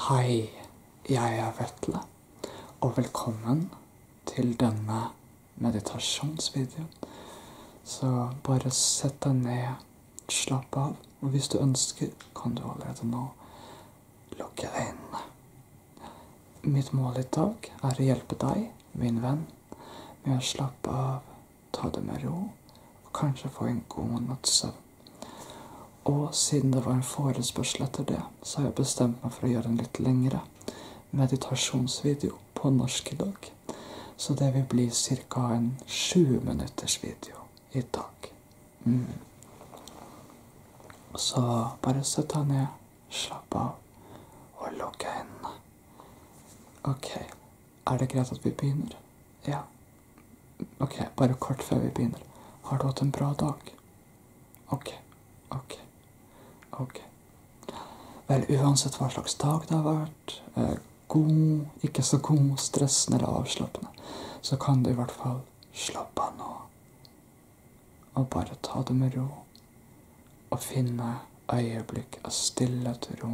Hei, jeg er Vetle, og velkommen til denne meditasjonsvideoen. Så bare sett deg ned, slapp av, og hvis du ønsker, kan du allerede nå lukke øynene. Mitt mål i dag er å hjelpe deg, min venn, med å slappe av, ta det med ro, og kanskje få en god natts søvn. Og siden det var en forespørsel etter det, så har jeg bestemt meg for å gjøre en litt lengre meditasjonsvideo på norsk i dag. Så det vil bli ca. en 20 minutters video i dag. Mm. Så bare sett deg ned, slapp av og lukk øynene. Ok, er det greit at vi begynner? Ja, OK, bare kort før vi begynner. Har du hatt en bra dag? OK, OK, OK. Vel, uansett hva slags dag det har vært, eh, god, ikke så god, stressende eller avslappende, så kan du i hvert fall slappe av nå. Og bare ta det med ro. Og finne øyeblikk av stillhet, ro,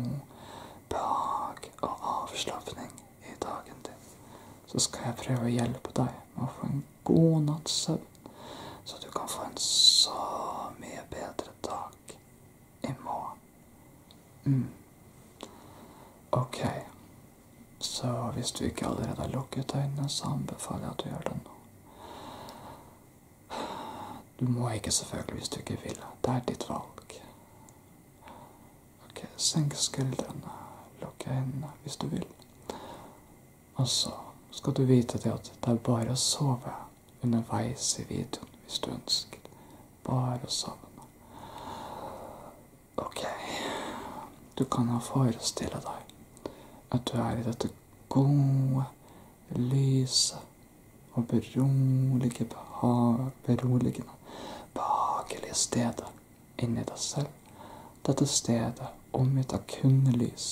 behag og avslapning i dagen din, så skal jeg prøve å hjelpe deg med å få en god natts søvn, så du kan få en så mye bedre dag i morgen. Mm. Ok, så hvis du ikke allerede har lukket øynene, så anbefaler jeg at du gjør det nå. Du må ikke, selvfølgelig, hvis du ikke vil. Det er ditt valg. Ok, senk skuldrene. Lukk øynene hvis du vil. Og så skal du vite det at det er bare å sove underveis i videoen hvis du ønsker. Bare å sovne. Ok. Du kan ha forestille deg at du er i dette gode, lyse og beroligende, beroligende behagelige stedet inni deg selv. Dette stedet omgitt av kun lys.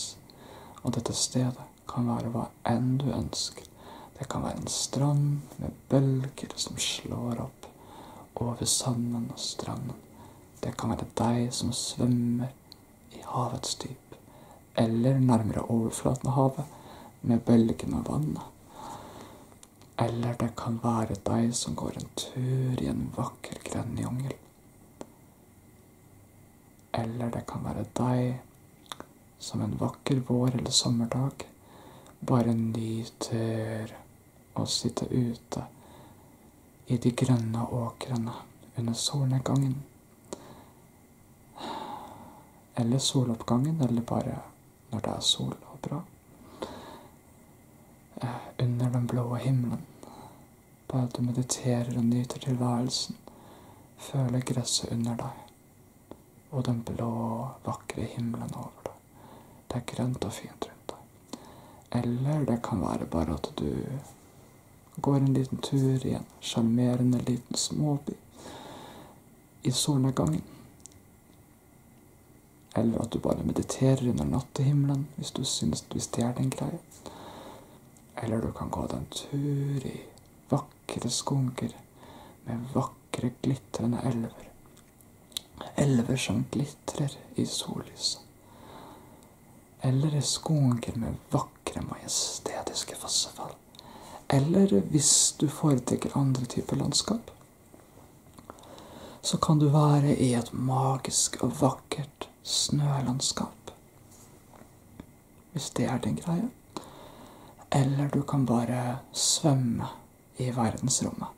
Og dette stedet kan være hva enn du ønsker. Det kan være en strand med bølger som slår opp over sanden og stranden. Det kan være deg som svømmer i havets dyp, eller nærmere overflaten av havet, med bølgene og vannet. Eller det kan være deg som går en tur i en vakker grendejungel. Eller det kan være deg som en vakker vår- eller sommerdag bare nyter å sitte ute i de grønne åkrene under solnedgangen. Eller soloppgangen, eller bare når det er sol og bra. Eh, under den blå himmelen. Bare at du mediterer og nyter tilværelsen. Føler gresset under deg. Og den blå, vakre himmelen over deg. Det er grønt og fint rundt deg. Eller det kan være bare at du går en liten tur i en sjarmerende liten småby i solnedgangen. Eller at du bare mediterer under nattehimmelen hvis du synes hvis det er din greie. Eller du kan gå deg en tur i vakre skoger med vakre, glitrende elver. Elver som glitrer i sollyset. Eller i skoger med vakre, majestetiske fossefall. Eller hvis du foretrekker andre typer landskap, så kan du være i et magisk og vakkert snølandskap. Hvis det er din greie. Eller du kan bare svømme i verdensrommet.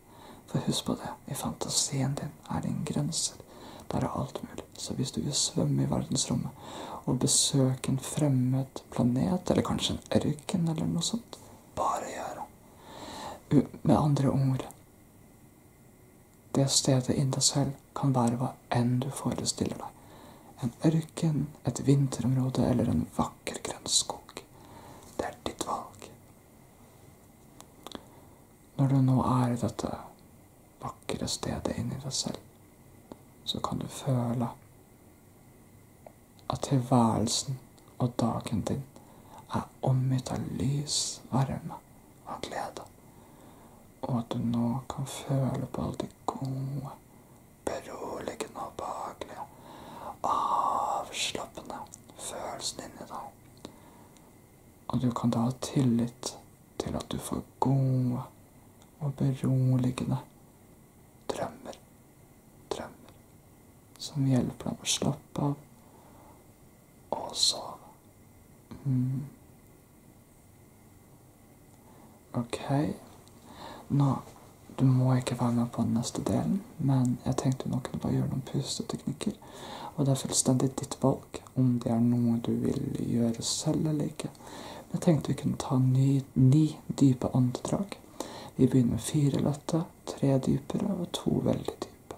For husk på det, i fantasien din er det ingen grenser. Der er alt mulig. Så hvis du vil svømme i verdensrommet og besøke en fremmed planet, eller kanskje en ørken eller noe sånt, bare gjør det. Med andre ord Det stedet i deg selv kan være hva enn du forestiller deg. En ørken, et vinterområde eller en vakker grønnskog. Det er ditt valg. Når du nå er i dette vakre stedet inni deg selv, så kan du føle at tilværelsen og dagen din er omgitt av lys, varme og glede. Og at du nå kan føle på alle de gode, beroligende og behagelige, avslappende følelsene inni deg. Og du kan da ha tillit til at du får gode og beroligende drømmer drømmer som hjelper dem å slappe av og sove. Mm. OK. Nå Du må ikke være med på den neste delen, men jeg tenkte nå kunne bare gjøre noen pusteteknikker. Og det er fullstendig ditt valg om det er noe du vil gjøre selv eller ikke. Men jeg tenkte vi kunne ta ni, ni dype åndedrag. Vi begynner med fire lette, tre dypere og to veldig dype.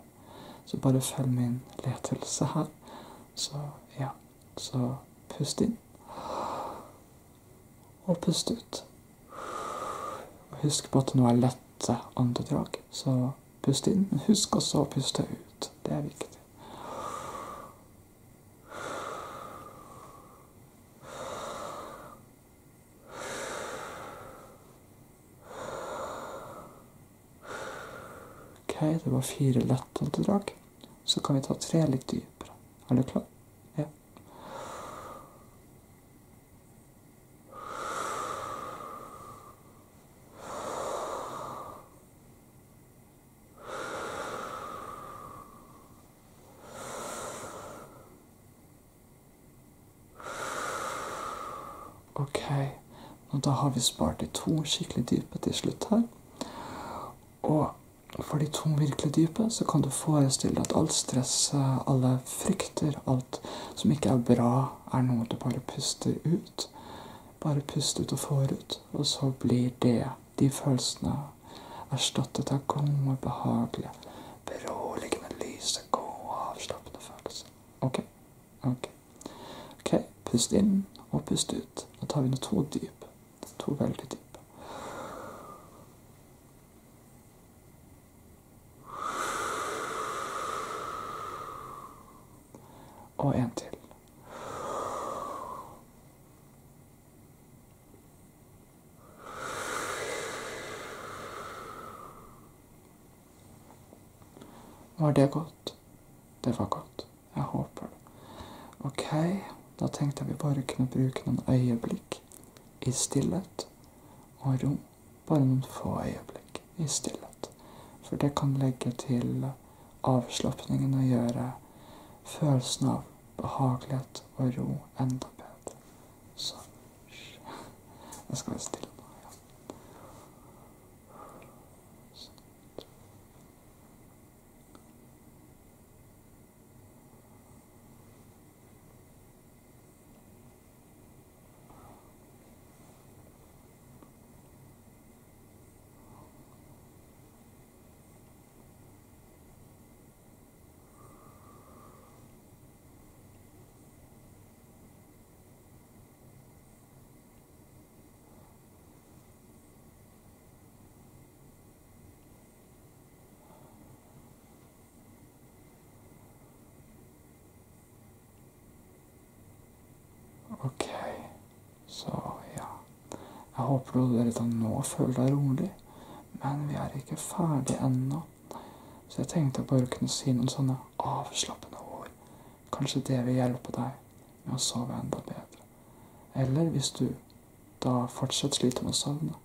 Så bare følg min letelse her. Så ja. Så pust inn. Og pust ut. Og husk på at nå er lette åndedrag. Så pust inn, men husk også å puste ut. Det er viktig. OK, det var fire lettåndedrag. Så kan vi ta tre litt dypere. Er du klar? Ja. Ok, og da har vi spart de to skikkelig dype til slutt her. Og for de to virkelig dype så kan du forestille deg at alt stress, alle frykter, alt som ikke er bra, er noe du bare puster ut. Bare pust ut og får ut. Og så blir det, de følelsene, erstattet av gode, behagelige, beroligende lys en god og avslappende følelse. Ok. Ok. Ok, Pust inn og pust ut. Nå tar vi nå to dyp. To veldig dyp. Og en til. Var det godt? Det var godt. Jeg håper det. Ok, da tenkte jeg vi bare kunne bruke noen øyeblikk i stillhet og rom. Bare noen få øyeblikk i stillhet. For det kan legge til avslapningen og gjøre følelsen av behagelighet og ro enda bedre. Så Jeg skal være stille nå. Ja. Sånn. Ok, så ja. Jeg håper du allerede nå føler deg rolig, men vi er ikke ferdig ennå. Så jeg tenkte jeg bare kunne si noen sånne avslappende ord. Kanskje det vil hjelpe deg med å sove enda bedre. Eller hvis du da fortsatt sliter med å sovne,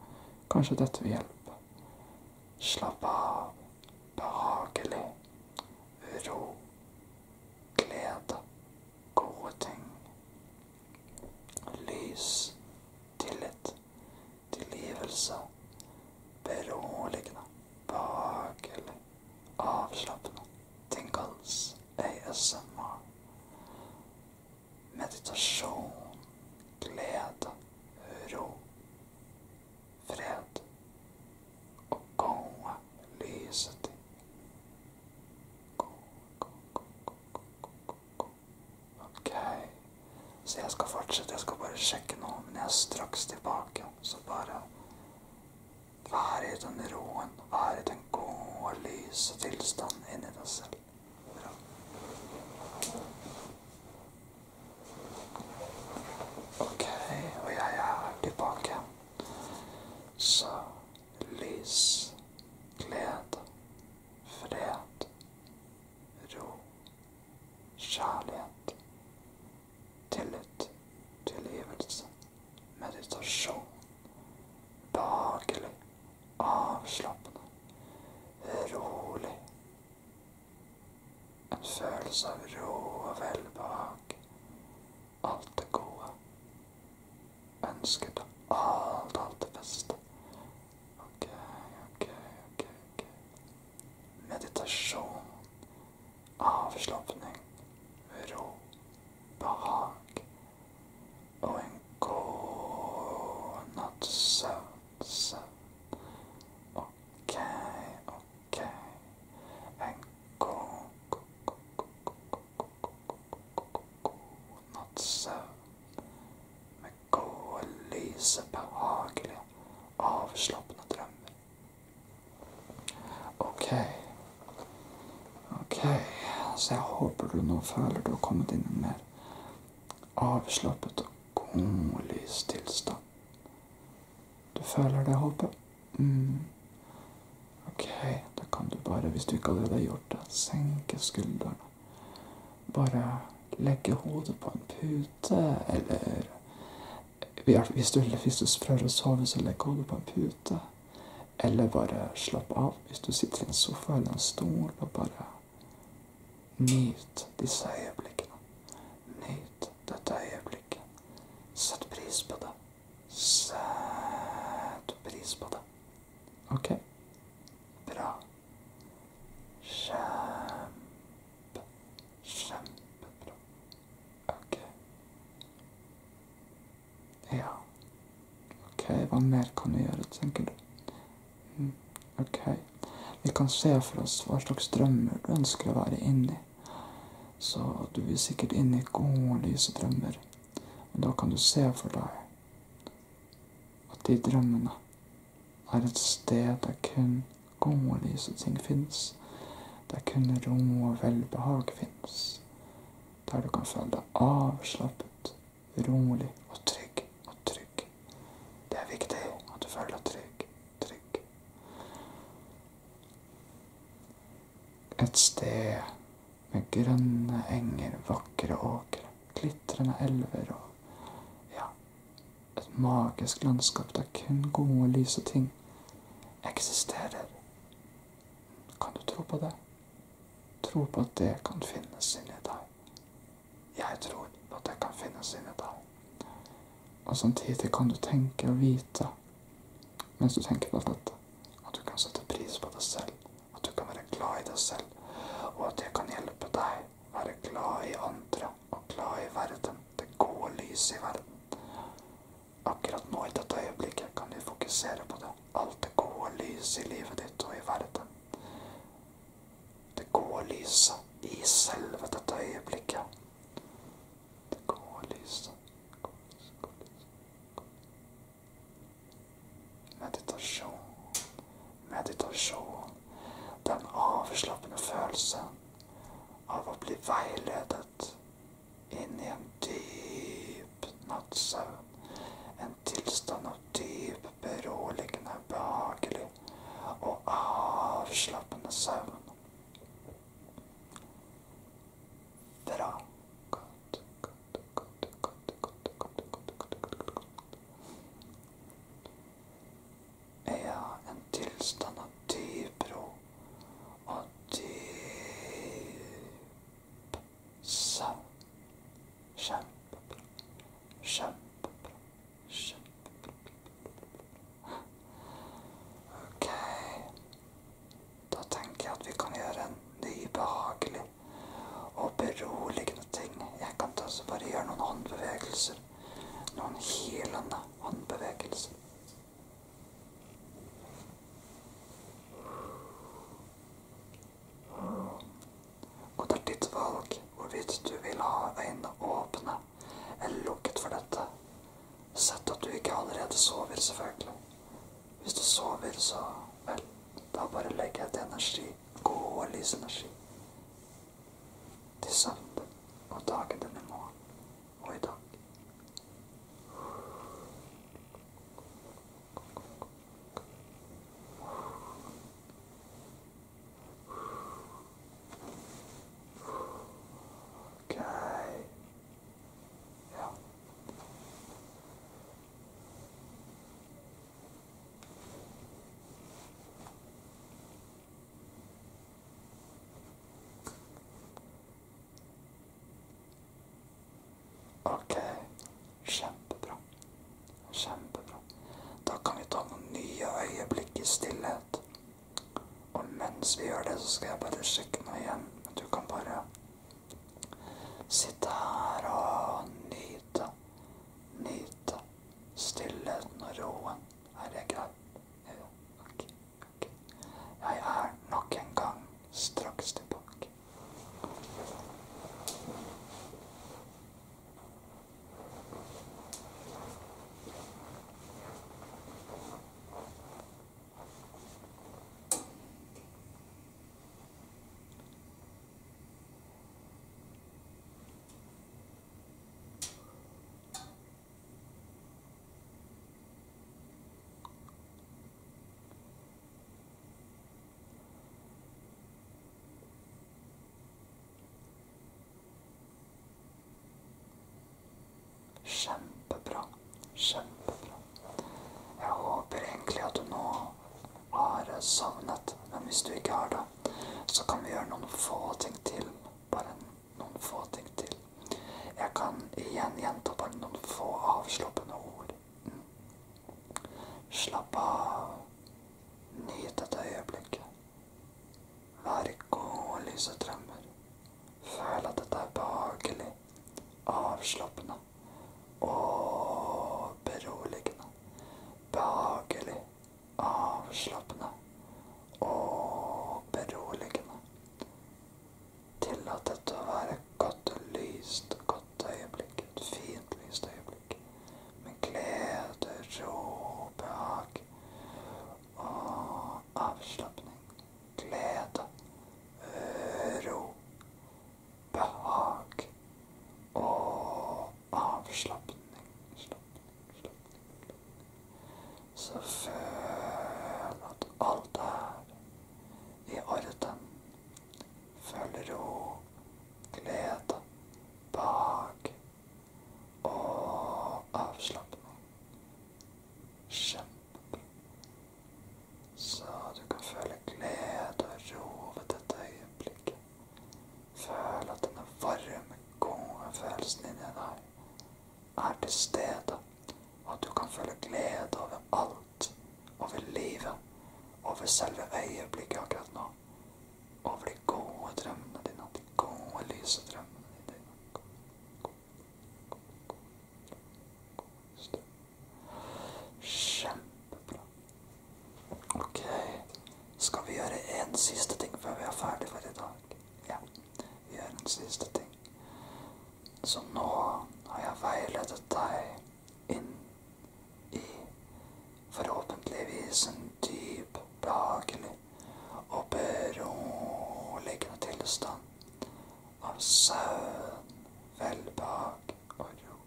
kanskje dette vil hjelpe. Slapp av. Behagelig. Ro. Glede. Gode ting. Lys. Tillit tilgivelse, beroligende, behagelig, avslappende. Den kalles ASMR. Meditasjon, glede, ro, fred og gode, lyse ting. Go, go, go, go, go, go. Ok. Så jeg skal fortsette. Jeg skal bare sjekke nå. Men jeg er straks tilbake. Så bare vær i den roen. Vær i den gode, lyse tilstanden inni deg selv. Bra. Ok, og jeg er tilbake. Så lys, glede, fred, ro, kjærlighet, tillit, tilgivelse, meditasjon, behagelig, avslappende, rolig. En følelse av ro og velbehag. Alt det gode. Ønsket alt, alt det beste. OK, OK, OK. ok. Meditasjon. Avslapning. Ro. Behag. Og en god natts søvn. Søvn. OK, OK. En god, god, god, god, god, god, god, god natts søvn med gode, lyse, behagelige, avslappende drømmer. Ok. Ok, så jeg håper du nå føler du har kommet inn i en mer avslappet og god, lys tilstand. Du føler det, håper mm. Ok, da kan du bare, hvis du ikke allerede har gjort det, senke skuldrene. Bare legge hodet på en pute, eller hvis du, hvis du prøver å sove, så legg hodet på en pute. Eller bare slapp av hvis du sitter i en sofa eller en stol, og bare nyt disse øyeblikkene. Nyt dette øyeblikket. Sett pris på det. Sett pris på det. OK? Bra. Kjempe, kjempebra. OK. Ja. OK, hva mer kan vi gjøre, tenker du? Mm. OK. Vi kan se for oss hva slags drømmer du ønsker å være inni. Så du vil sikkert inn i gode, lyse drømmer. Og da kan du se for deg at de drømmene er et sted der kun gode, lyse ting fins. Der kun ro og velbehag fins. Der du kan føle deg avslappet, rolig og trygg og trygg. Det er viktig at du føler deg trygg, trygg. Et sted med grønne enger, vakre åkre glitrende elver og ja, et magisk landskap der kun gode og lyse ting eksisterer. Kan du tro på det? Tro på at det kan finnes inni deg. Jeg tror at det kan finnes inni deg. Og samtidig kan du tenke og vite mens du tenker på dette, at du kan sette pris på det selv. At du kan være glad i deg selv, og at det kan hjelpe deg være glad i andre og glad i verden, det gode lyset i verden. Akkurat nå i dette øyeblikket kan du fokusere på det. Alt det gode lyset i livet ditt og i verden. Det gode lyset i selve dette øyeblikket. Det gode lyset. Meditasjon. Meditasjon. Den avslappende følelsen av å bli veiledet inn i en dyp nattsøvn. En tilstand av dyp, beroligende, behagelig og avslappende søvn. Bra er en tilstand av dyp ro og dyp søvn. Kjempebra. Kjempebra. Kjempebra. Ok. Da tenker jeg at vi kan gjøre en ny behagelig og beroligende ting. Jeg kan også bare gjøre noen håndbevegelser. Noen hylende håndbevegelser. Og det er ditt valg hvorvidt du vil ha øynene åpne eller lukket for dette. Sett at du ikke allerede sover, selvfølgelig. Hvis du sover, så vel, da bare legger jeg til energi gode lysenergi. Til søndag og dagen den i morgen og i dag. Ok. Ja. Ok. Kjempebra. Kjempebra. Da kan vi ta noen nye øyeblikk i stillhet. Og mens vi gjør det, så skal jeg bare sjekke noe igjen. Men du kan bare sitte her og nyte nyte stillheten og roen. Er det greit? Ja, ok. ok. Jeg er nok en gang straks tilbake. Kjempebra. Kjempebra. Jeg håper egentlig at du nå har savnet. Men hvis du ikke har det, så kan vi gjøre noen få ting til. Bare noen få ting til. Jeg kan igjen gjenta bare noen få avslappende ord. Mm. Slapp av. Nyt dette øyeblikket. Vær i gode, lyse drømmer. Føl at dette er behagelig, avslappende og beroligende. Behagelig, avslappende og beroligende. Tillat dette å være et godt lyst, godt øyeblikk. Et fint lyst øyeblikk. Med glede, ro, behag og avslapning. Glede, ro, behag og avslapning. Slapning, slapning, Så føl at alt er i orden. Føl ro, glede, behag og avslapning. Kjempe. Så du kan føle glede og ro ved dette øyeblikket. Føl at denne varme, gode følelsen inni deg er til stede. Og at du kan føle glede over alt. Over livet. Over selve øyeblikket akkurat nå. Over de gode drømmene dine. De gode, lyse drømmene dine. Kjempebra. Ok. Skal vi gjøre én siste ting før vi er ferdig for i dag? Ja. Vi gjør en siste ting. Så nå har jeg veiledet deg inn i forhåpentligvis en dyp, behagelig og beroligende tilstand av søvn, velbehag og ro.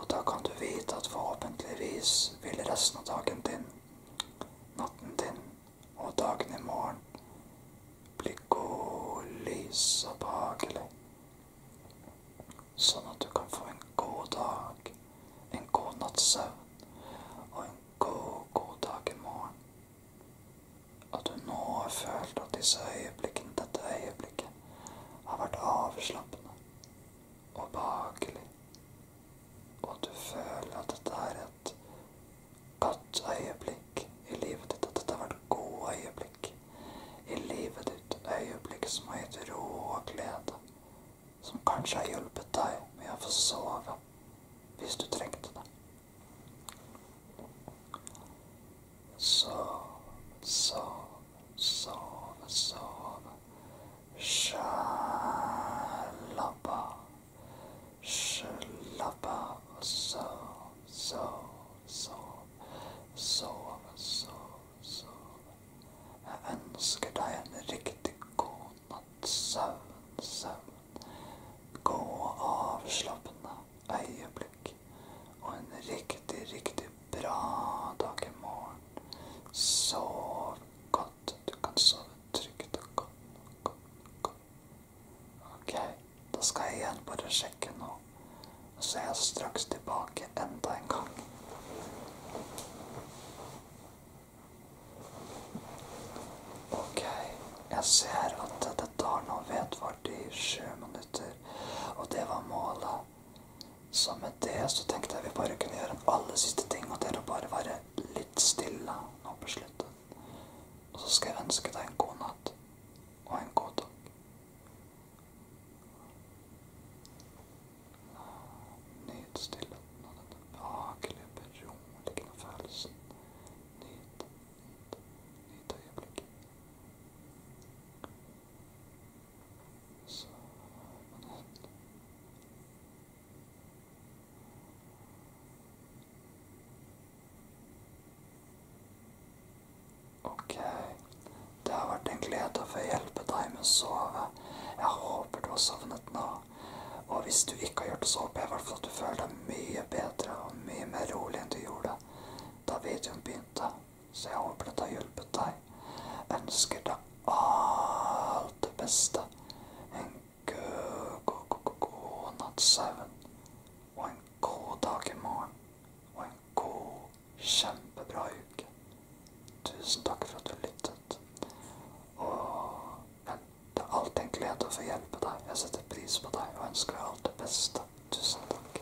Og da kan du vite at forhåpentligvis vil resten av dagen din, natten din og dagen i morgen bli god, lys og behagelig. Sånn at du kan få en god dag, en god natts søvn og en god, god dag i morgen. At du nå har følt at disse øyeblikkene, dette øyeblikket har vært avslappende og behagelig, og at du føler at dette er et godt øyeblikk i livet ditt, at dette har vært gode øyeblikk i livet ditt, øyeblikk som har gitt ro og glede, som kanskje har hjulpet deg med å få sove hvis du trengte det. Sov, sov, sov, sov. Slapp av. Slapp av og sov, sov, sov. Sov, sov, sov. Jeg ønsker deg en riktig god natts søvn, søvn. Gå avslappende øyeblikk og en riktig, riktig bra dag i morgen. Sov godt. Du kan sove trygt og godt. godt, godt. Ok, da skal jeg igjen bare sjekke nå. Så er jeg straks tilbake enda en gang. Ok, jeg ser at dette tar nå vedvart i sju minutter, og det var målet. Så med det så tenkte jeg vi bare kunne gjøre en aller siste ting, og det er å bare være litt stille nå på slutten. Og så skal jeg ønske deg en god natt og en god dag. Nyt stillheten og den behagelige, beroligende følelsen. Nyt, nyt, nyt øyeblikket. Så man hen. Ok. Det har vært en glede å få hjelpe deg med å sove. Jeg håper du har sovnet nå. Og hvis du ikke har gjort det, så håper jeg i hvert fall at du føler deg mye bedre og mye mer rolig enn du gjorde da videoen begynte så jeg håper dette har hjulpet deg. Ønsker deg alt det beste. En god, god, god, god nattsøvn. Og en god dag i morgen. Og en god, kjempebra uke. Tusen takk for at du lyttet. Og det er alltid en glede å få hjelpe deg. Jeg setter pris på deg og ønsker deg alt det beste. Tusen takk.